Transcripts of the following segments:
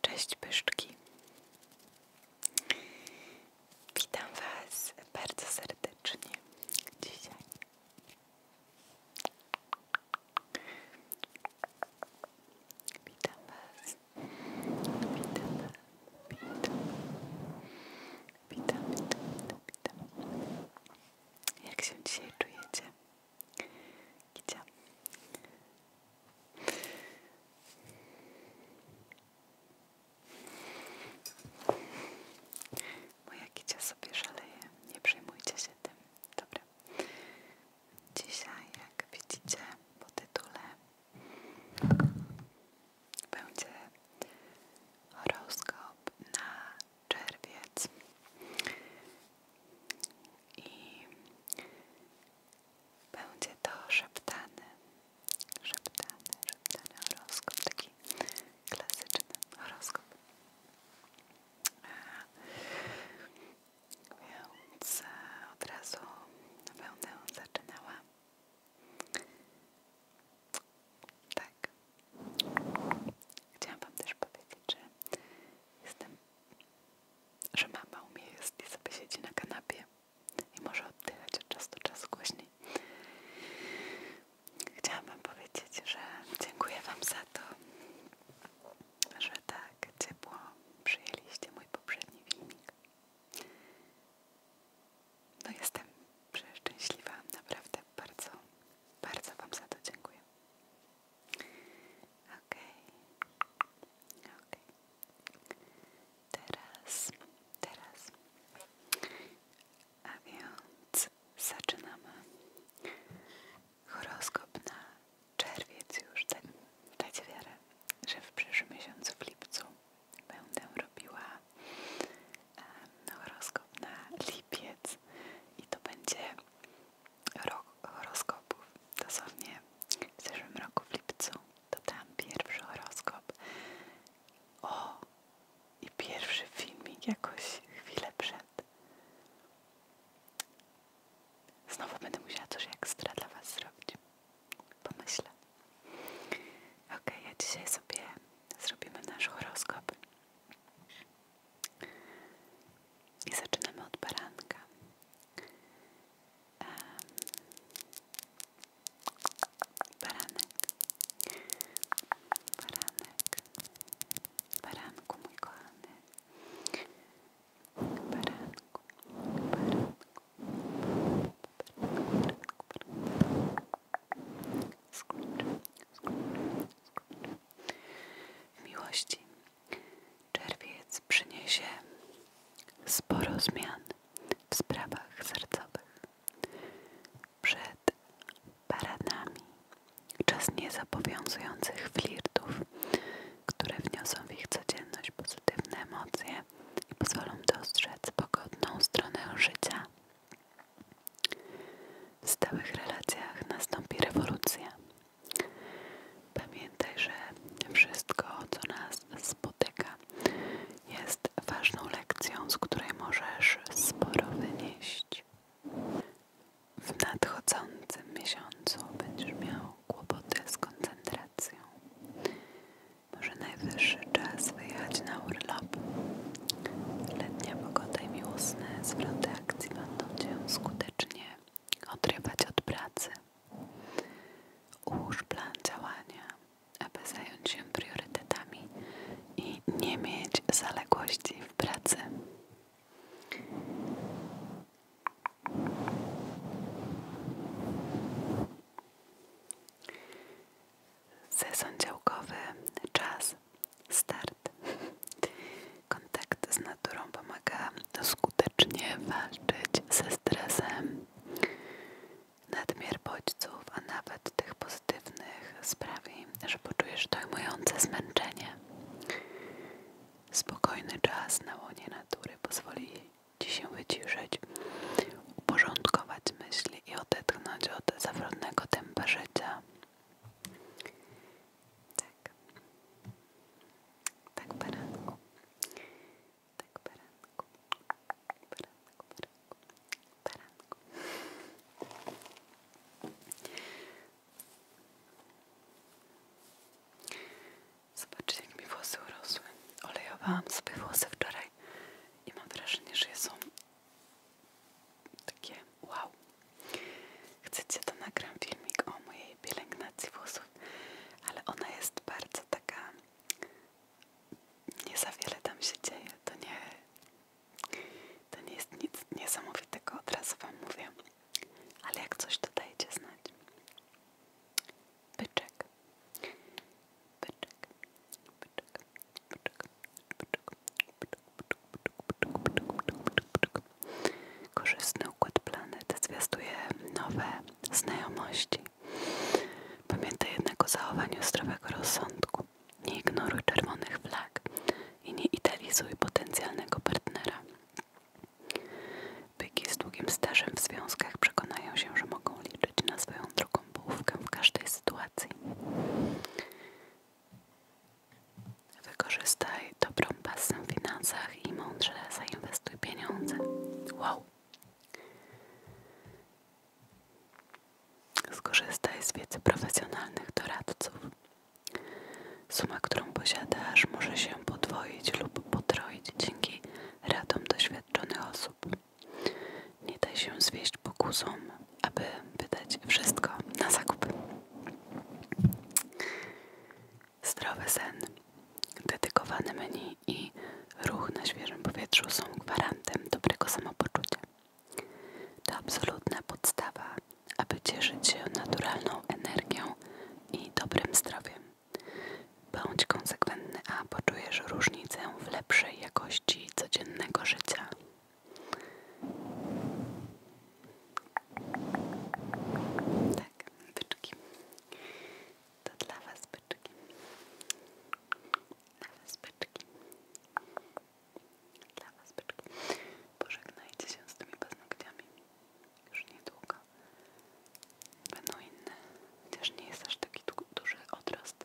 Cześć pyszczki. Witam Was bardzo serdecznie dzisiaj. Witam Was. Witam Was. Witam. Witam, witam, witam. Jak się dzisiaj czujecie? Gdzie? Moja kicia sobie szaleje, nie przejmujcie się tym. Dobra. Dzisiaj, jak widzicie po tytule, będzie horoskop na czerwiec i będzie to szeptany, szeptany, szeptany horoskop, taki klasyczny horoskop. Więc e, od razu będę zaczynała. Tak. Chciałam Wam też powiedzieć, że jestem że mama umie jest i sobie siedzi na kanapie i może oddychać od czasu do czasu głośniej. Chciałabym powiedzieć, że dziękuję Wam za to, że tak ciepło przyjęliście mój poprzedni filmik. No jestem przeszczęśliwa, naprawdę bardzo, bardzo Wam za to dziękuję. Okej, okej. Teraz, teraz. A więc zaczynamy. Horoskop na czerwiec już. Da, dajcie wiarę, że w przyszłym miesiącu, w lipcu, będę robiła horoskop na lipiec i to będzie horoskopów. Dosłownie w zeszłym roku w lipcu to tam pierwszy horoskop. O! I pierwszy filmik jakoś chwilę przed. Znowu będę musiała coś ekstra dla Was zrobić. Pomyślę. Okej, okay, a dzisiaj sobie zrobimy nasz horoskop. I zaczynamy od baranka. Um, baranek, baranek, baranku mój kochany, baranku, baranku, baranku, baranku, baranku, baranku. Skurcz, miłości. Czerwiec przyniesie sporo zmian w sprawach sercowych. Przed paranami, czas niezobowiązujących flirtów, które wniosą w ich codzienność pozytywne emocje i pozwolą dostrzec pogodną stronę życia. W stałych relacjach nastąpi rewolucja. Pamiętaj, że wszystko, co nas spotyka, jest ważną lekcją, z której możesz sporo wynieść. W nadchodzącym miesiącu będziesz miał kłopoty z koncentracją. Może najwyższy czas wyjechać na urlop Letnia pogoda i miłosne zwroty akcji będą Cię skutecznie odrywać od pracy. Ułóż plan działania, aby zająć się priorytetami i nie mieć zaległości w pracy. Sezon działkowy, czas start. Kontakt z naturą pomaga skutecznie walczyć ze stresem. Nadmiar bodźców, a nawet tych pozytywnych, sprawi, że poczujesz dojmujące zmęczenie. Spokojny czas na łonie natury pozwoli Ci się wyciszyć, uporządkować myśli i odetchnąć od zawrotnego tempa życia. Tak. Tak, baranku. Tak, baranku. Baranku, baranku. Baranku. Zobaczcie, jak mi włosy urosły. Olejowałam sobie włosy wczoraj i mam wrażenie, że są takie wow. Chcecie, to nagram filmik o mojej pielęgnacji włosów, ale ona jest bardzo taka. Nie za wiele tam się dzieje. To nie, to nie jest nic niesamowitego, od razu Wam mówię. Ale jak coś to dajcie znać. Byczek. Byczek. Korzystny układ planety zwiastuje nowe znajomości. Pamiętaj jednak o zachowaniu zdrowego rozsądku. Nie ignoruj czerwonych flag i nie idealizuj potencjalnego partnera. Byki z długim stażem w związkach przekonają się, że mogą liczyć na swoją drugą połówkę w każdej sytuacji. Wykorzystaj dobrą pasję w finansach i mądrze zainwestuj pieniądze. Wow! Skorzystaj z wiedzy profesjonalnych doradców. Suma, którą posiadasz, może się podwoić lub potroić dzięki radom doświadczonych osób. Nie daj się zwieść pokusom aby wydać wszystko na zakup. Zdrowy sen, dedykowany menu i ruch na świeżym powietrzu są gwarantem dobrego samopoczucia. To absolutna podstawa, aby cieszyć się naturalną energią i dobrym zdrowiem. Bądź konsekwentny, a poczujesz różnicę w lepszej jakości codziennego życia tak, byczki. To dla was byczki. Dla was byczki. Dla was byczki. Pożegnajcie się z tymi paznokciami. Już niedługo. Będą inne. Chociaż nie jest aż taki duży odrost.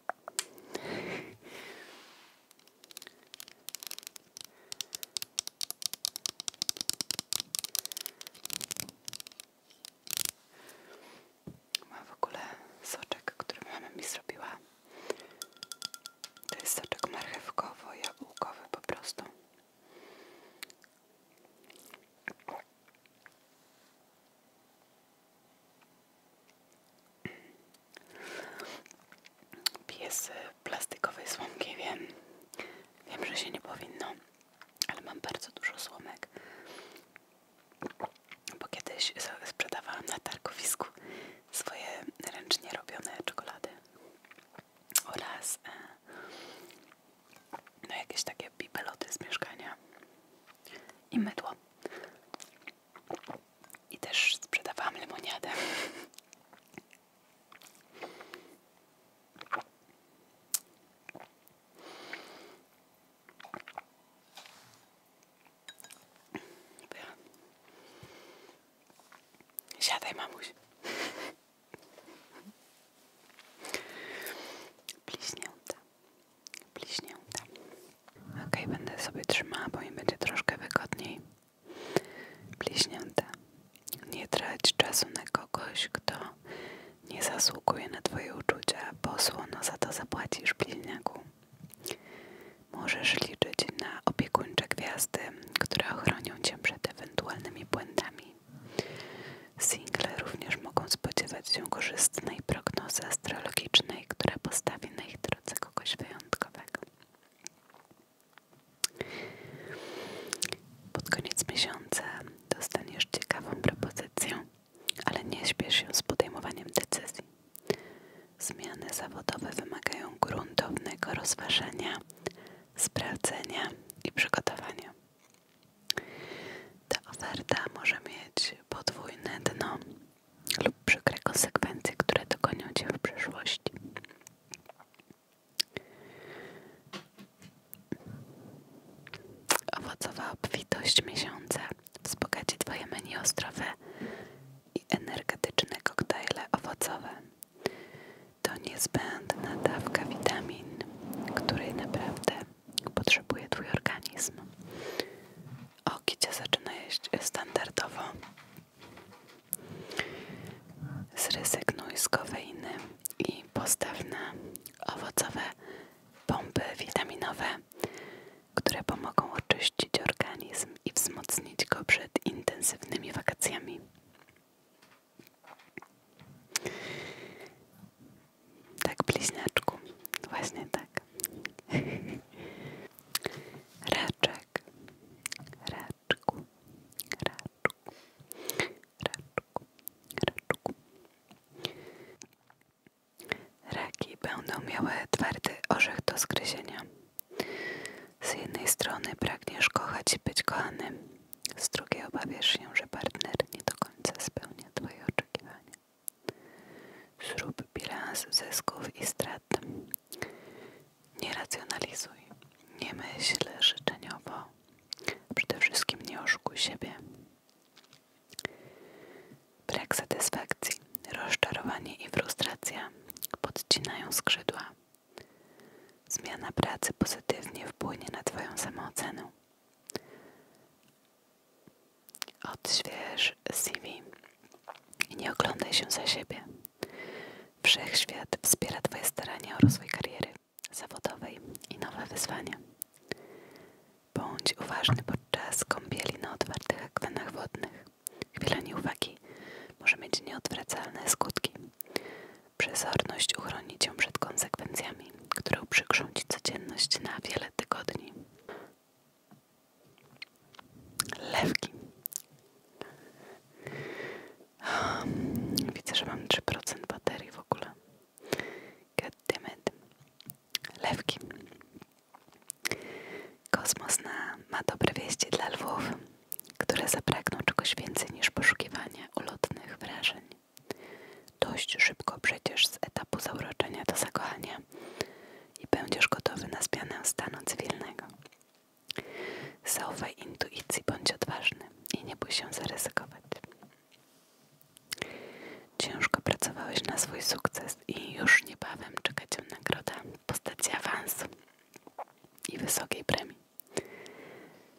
Mam w soczek, który mama mi zrobiła. To jest soczek marchewkowo-jabłkowy po prostu. Piję z plastikowej słomki, wiem. Wiem, że się nie powinno, ale mam bardzo dużo słomek. Bo kiedyś sprzedawałam na targowisku swoje ręcznie robione czekolady oraz e, no jakieś takie bibeloty z mieszkania i mydło i też sprzedawałam lemoniadę. Siadaj, mamuś. Bliźnięta. Bliźnięta. Ok, będę sobie trzymała, bo mi będzie troszkę wygodniej. Bliźnięta. Nie trać czasu na kogoś, kto nie zasługuje na Twoje uczucia, bo słono za to zapłacisz bliźniaku. Możesz liczyć na opiekuńcze gwiazdy, które ochronią Cię przed ewentualnymi błędami. Single również mogą spodziewać się korzystnej prognozy astrologicznej, która postawi na ich drodze kogoś wyjątkowego. Pod koniec miesiąca dostaniesz ciekawą propozycję, ale nie śpiesz się z podejmowaniem decyzji. Zmiany zawodowe wymagają gruntownego rozważenia, sprawdzenia i przygotowania. Ta oferta może mieć podwójne dno, lub przykre konsekwencje, które dogonią cię w przeszłości. Owocowa obfitość miesiąca wzbogaci Twoje menu i energetyczne koktajle owocowe. To niezbędna dawka witamin, której naprawdę potrzebuje Twój organizm. O, Kicia zaczyna jeść standardowo. Zrezygnuj z kofeiny i postaw na owocowe pompy witaminowe, które pomogą oczyścić organizm i wzmocnić go przed intensywnymi wakacjami. Tak, bliźniaczku. Właśnie tak. Raczek. Raczku. Raczku. Raczku. Raczku. Raki będą miały twardy orzech do zgryzienia. Z jednej strony pragniesz kochać i być kochanym, z drugiej obawiasz się, że partner nie do końca spełnia Twoje oczekiwania. Zrób bilans zysków i strat. Nie racjonalizuj, nie myśl życzeniowo. Przede wszystkim nie oszukuj siebie. Brak satysfakcji, rozczarowanie i frustracja podcinają skrzydła. Zmiana pracy pozytywnie wpłynie na Twoją samoocenę. Odśwież CV i nie oglądaj się za siebie. Wszechświat wspiera Twoje starania o rozwój kariery zawodowej i nowe wyzwania. Bądź uważny podczas kąpieli na otwartych akwenach wodnych. Chwila nieuwagi może mieć nieodwracalne skutki. Przezorność uchroni Cię przed konsekwencjami, które uprzykrzą Ci codzienność na wiele tygodni. Lewki. Um, widzę, że mam 3% baterii w ogóle. Goddammit. Lewki. Kosmos na, ma dobre wieści dla lwów, które zabrakną czegoś więcej niż poszukiwanie ulotnych wrażeń. Dość szybko przejdziesz z etapu zauroczenia do zakochania i będziesz gotowy na zmianę stanu cywilnego. Zaufaj intuicji, bądź odważny i nie bój się zaryzykować. Ciężko pracowałeś na swój sukces i już niebawem czeka cię nagroda w postaci awansu i wysokiej premii.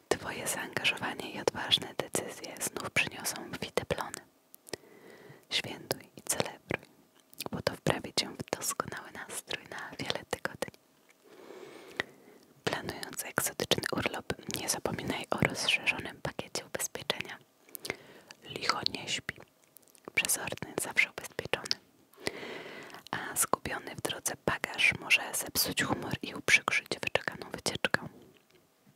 Twoje zaangażowanie i odważne decyzje znów przyniosą wite plony. Świętuj i celebruj, bo to wprawi Cię w doskonały nastrój na wiele tygodni. Planując egzotyczny urlop, nie zapominaj o rozszerzonym pakiecie ubezpieczenia. Licho nie śpi, przezorny, zawsze ubezpieczony. A zgubiony w drodze bagaż może zepsuć humor i uprzykrzyć wyczekaną wycieczkę.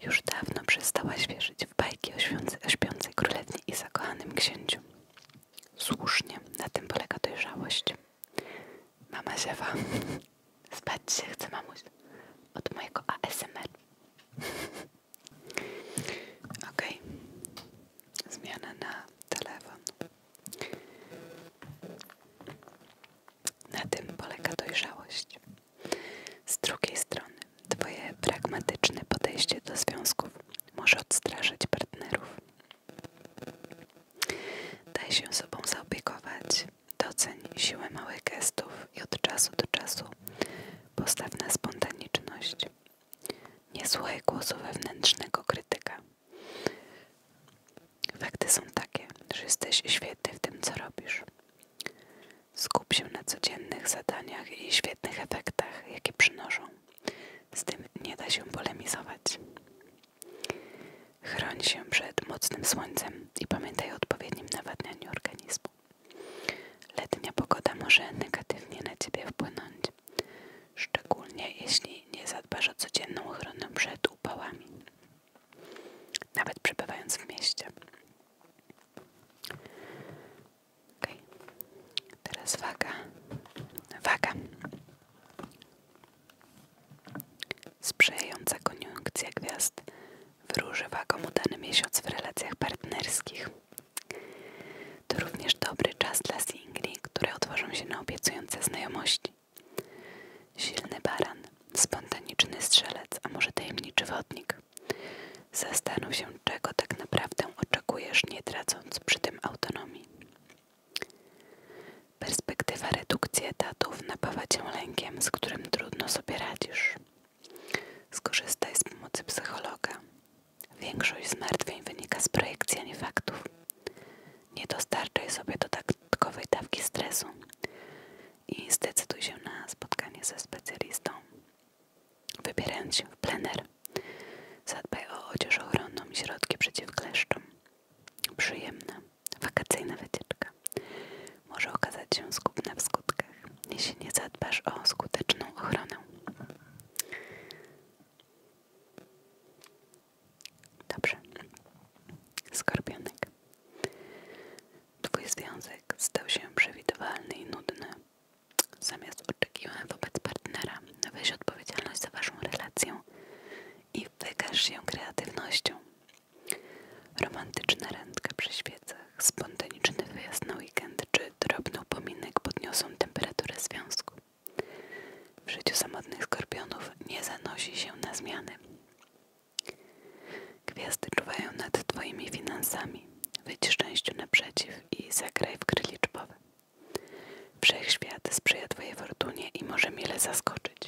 Już dawno przestała świeżyć w bajki o, świący, o śpiącej królewni i zakochanym księciu. Słusznie, na tym polega dojrzałość. Mama Ziewa, spać się chce mamuś od mojego ASMR. Okej, okay. zmiana na telefon. Na tym polega dojrzałość. Z drugiej strony, Twoje pragmatyczne podejście do związków może odstraszać partnerów. Daj się sobą zaopiekować, doceń siłę małych gestów i od czasu do czasu postaw na spontaniczność. Nie słuchaj głosu wewnętrznego krytyka. Fakty są takie, że jesteś świetny w tym, co robisz. Skup się na codziennych zadaniach i świetnych efektach, jakie przynoszą. Z tym nie da się polemizować. Chron się przed mocnym słońcem i pamiętaj o odpowiednim nawadnianiu organizmu. Letnia pogoda może negatywnie na Ciebie wpłynąć, szczególnie jeśli nie zadbasz o codzienną ochronę przed upałami, nawet przebywając w mieście. Okay. Teraz waga. Waga. Sprzyjająca koniunkcja gwiazd wróży wagom udany miesiąc w relacjach partnerskich. To również dobry czas dla singli, które otworzą się na obiecujące znajomości. Silny baran spontaniczny strzelec, a może tajemniczy wodnik. Zastanów się, czego tak naprawdę oczekujesz, nie tracąc przy tym autonomii. Perspektywa redukcji etatów napawa cię lękiem, z którym trudno sobie radzisz. Skorzystaj z pomocy psychologa. Większość zmartwień wynika z projekcji, a faktów. Nie dostarczaj sobie dodatkowej dawki stresu i zdecyduj się na spotkanie ze specjalistą. Wybierając się w plener, zadbaj o odzież ochronną i środki przeciwkleszczom. Przyjemna, wakacyjna wycieczka może okazać się skupna w skutkach, jeśli nie zadbasz o skuteczną ochronę. Dobrze. Skorpionek. Twój związek stał się przewidywalny i nudny. Zamiast oczekiwań wobec partnera, weź odpowiedzialność za waszą relację i wykaż się kreatywnością. Romantyczna randka przy świecach, spontaniczny wyjazd na weekend czy drobny upominek podniosą temperaturę związku. W życiu samotnych skorpionów nie zanosi się na zmiany. Gwiazdy czuwają nad twoimi finansami. Wyjdź szczęściu naprzeciw i zagraj w gry liczbowe. Wszechświat sprzyja twojej fortunie i może mile zaskoczyć.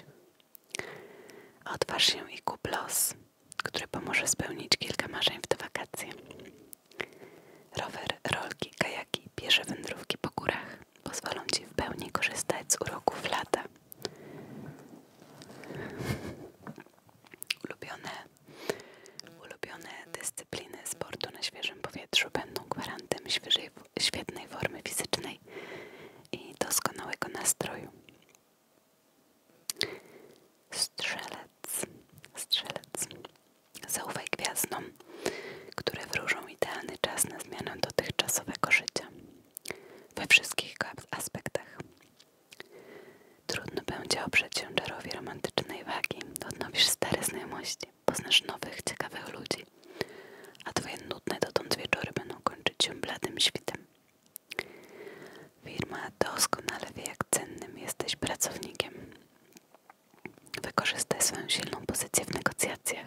Odważ się i kup los, który pomoże spełnić kilka marzeń w te wakacje. Rower, rolki, kajaki, piesze wędrówki po górach pozwolą ci w pełni korzystać z uroków lata. Ulubione, ulubione dyscypliny sportu na świeżym powietrzu będą gwarantem świeżej, świetnej formy fizycznej i doskonałego nastroju. Strzelec, strzelec. Zaufaj gwiazdom, które wróżą idealny czas na zmianę dotychczasowego życia we wszystkich aspektach. Trudno będzie oprzeć się czarowi romantycznej wagi. Odnowisz stare znajomości, poznasz nowych, ciekawych ludzi, a twoje nudne dotąd wieczory będą kończyć się bladym świtem. Firma doskonale wie, jak cennym jesteś pracownikiem. Wykorzystaj swoją silną pozycję w negocjacjach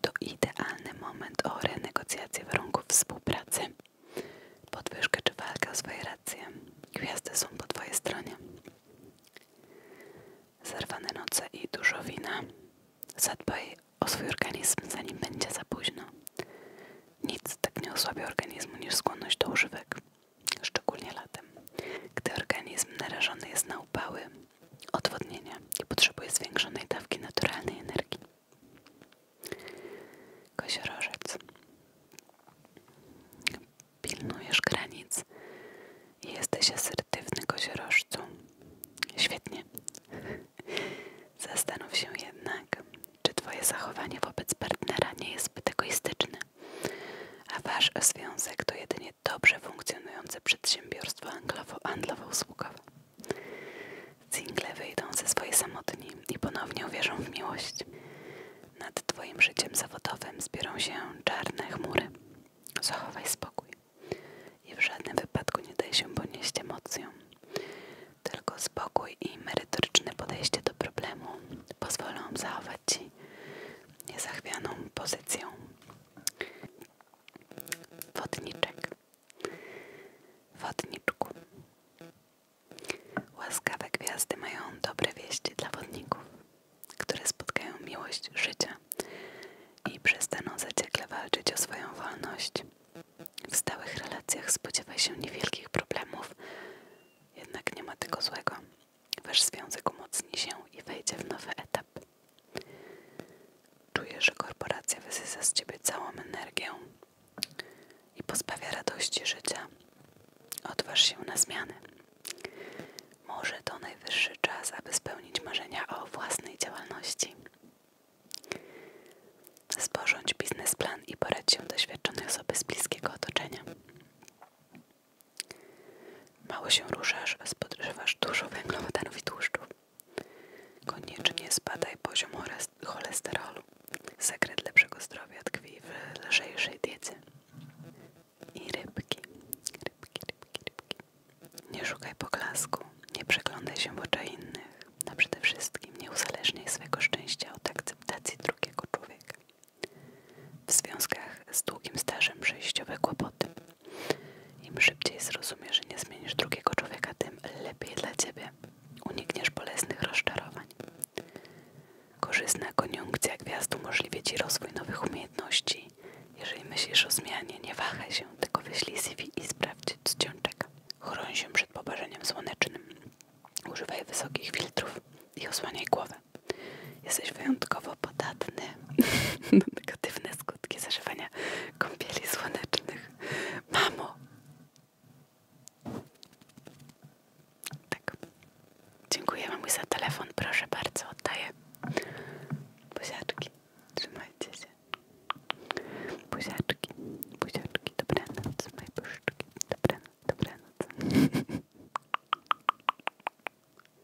to idealny moment o renegocjację warunków współpracy, podwyżkę czy walkę o swoje racje. Gwiazdy są po twojej stronie. Zerwane noce i dużo wina. Zadbaj o swój organizm, zanim będzie za późno. Nic tak nie osłabia organizmu niż skłonność do używek, szczególnie latem, gdy organizm narażony jest na upały, odwodnienia i potrzebuje zwiększonej dawki naturalnej energii. Koziorożec. Pilnujesz granic i jesteś asertywny koziorożcu. Świetnie. Zastanów się jednak, czy twoje zachowanie wobec partnera nie jest zbyt egoistyczne, a wasz związek to jedynie dobrze funkcjonujące przedsiębiorstwo anglowo-usługowe. Single wyjdą ze swojej samotni i ponownie uwierzą w miłość. Nad twoim życiem zawodowym zbiorą się czarne chmury. Zachowaj spokój i w żadnym wypadku nie daj się ponieść emocjom. Tylko spokój i merytoryczne podejście do problemu pozwolą zachować ci niezachwianą pozycję. Wodniczek. Wodniczku. Łaskawe gwiazdy mają dobre wieści dla wodników, które spotkają miłość życia i przestaną zaciekle walczyć o swoją wolność. W stałych relacjach spodziewaj się niewielkich problemów, jednak nie ma tego złego. Wasz związek umocni się i wejdzie w nowy etap. Czujesz, że korporacja wysysa z ciebie całą energię i pozbawia radości życia. Odważ się na zmiany. Może to najwyższy czas, aby spełnić marzenia o własnej działalności. Sporządź biznesplan i poradzić się doświadczonych osoby z bliskiego otoczenia. Mało się ruszasz, a spożywasz dużo węglowodanów i tłuszczów. Koniecznie spadaj poziom cholesterolu. Sekret lepszego zdrowia tkwi w lżejszej diecie. I rybki. Rybki, rybki, rybki. Nie szukaj poklasku. Nie przeglądaj się w oczach innych. A przede wszystkim nie uzależniaj swojego szczęścia od akceptacji drugiego człowieka. W związkach z długim stażem przejściowe kłopoty. Im szybciej zrozumiesz, że nie zmienisz drugiego człowieka, tym lepiej dla ciebie. Unikniesz bolesnych rozczarowań. Korzystna koniunkcja gwiazd umożliwia ci rozwój nowych umiejętności. Jeżeli myślisz o zmianie, nie wahaj się, tylko wyślij CV i sprawdź, co cię Chron się przed poparzeniem słonecznym. Używaj wysokich filtrów i osłaniaj głowę. Jesteś wyjątkowo podatny na negatywne skutki zażywania kąpieli słonecznych. Mamo! Tak. Dziękuję mamuś za telefon. Proszę bardzo, oddaję. Buziaczki. Trzymajcie się. Buziaczki. Buziaczki. Dobranoc. Moje puszczki. Dobranoc. Dobranoc.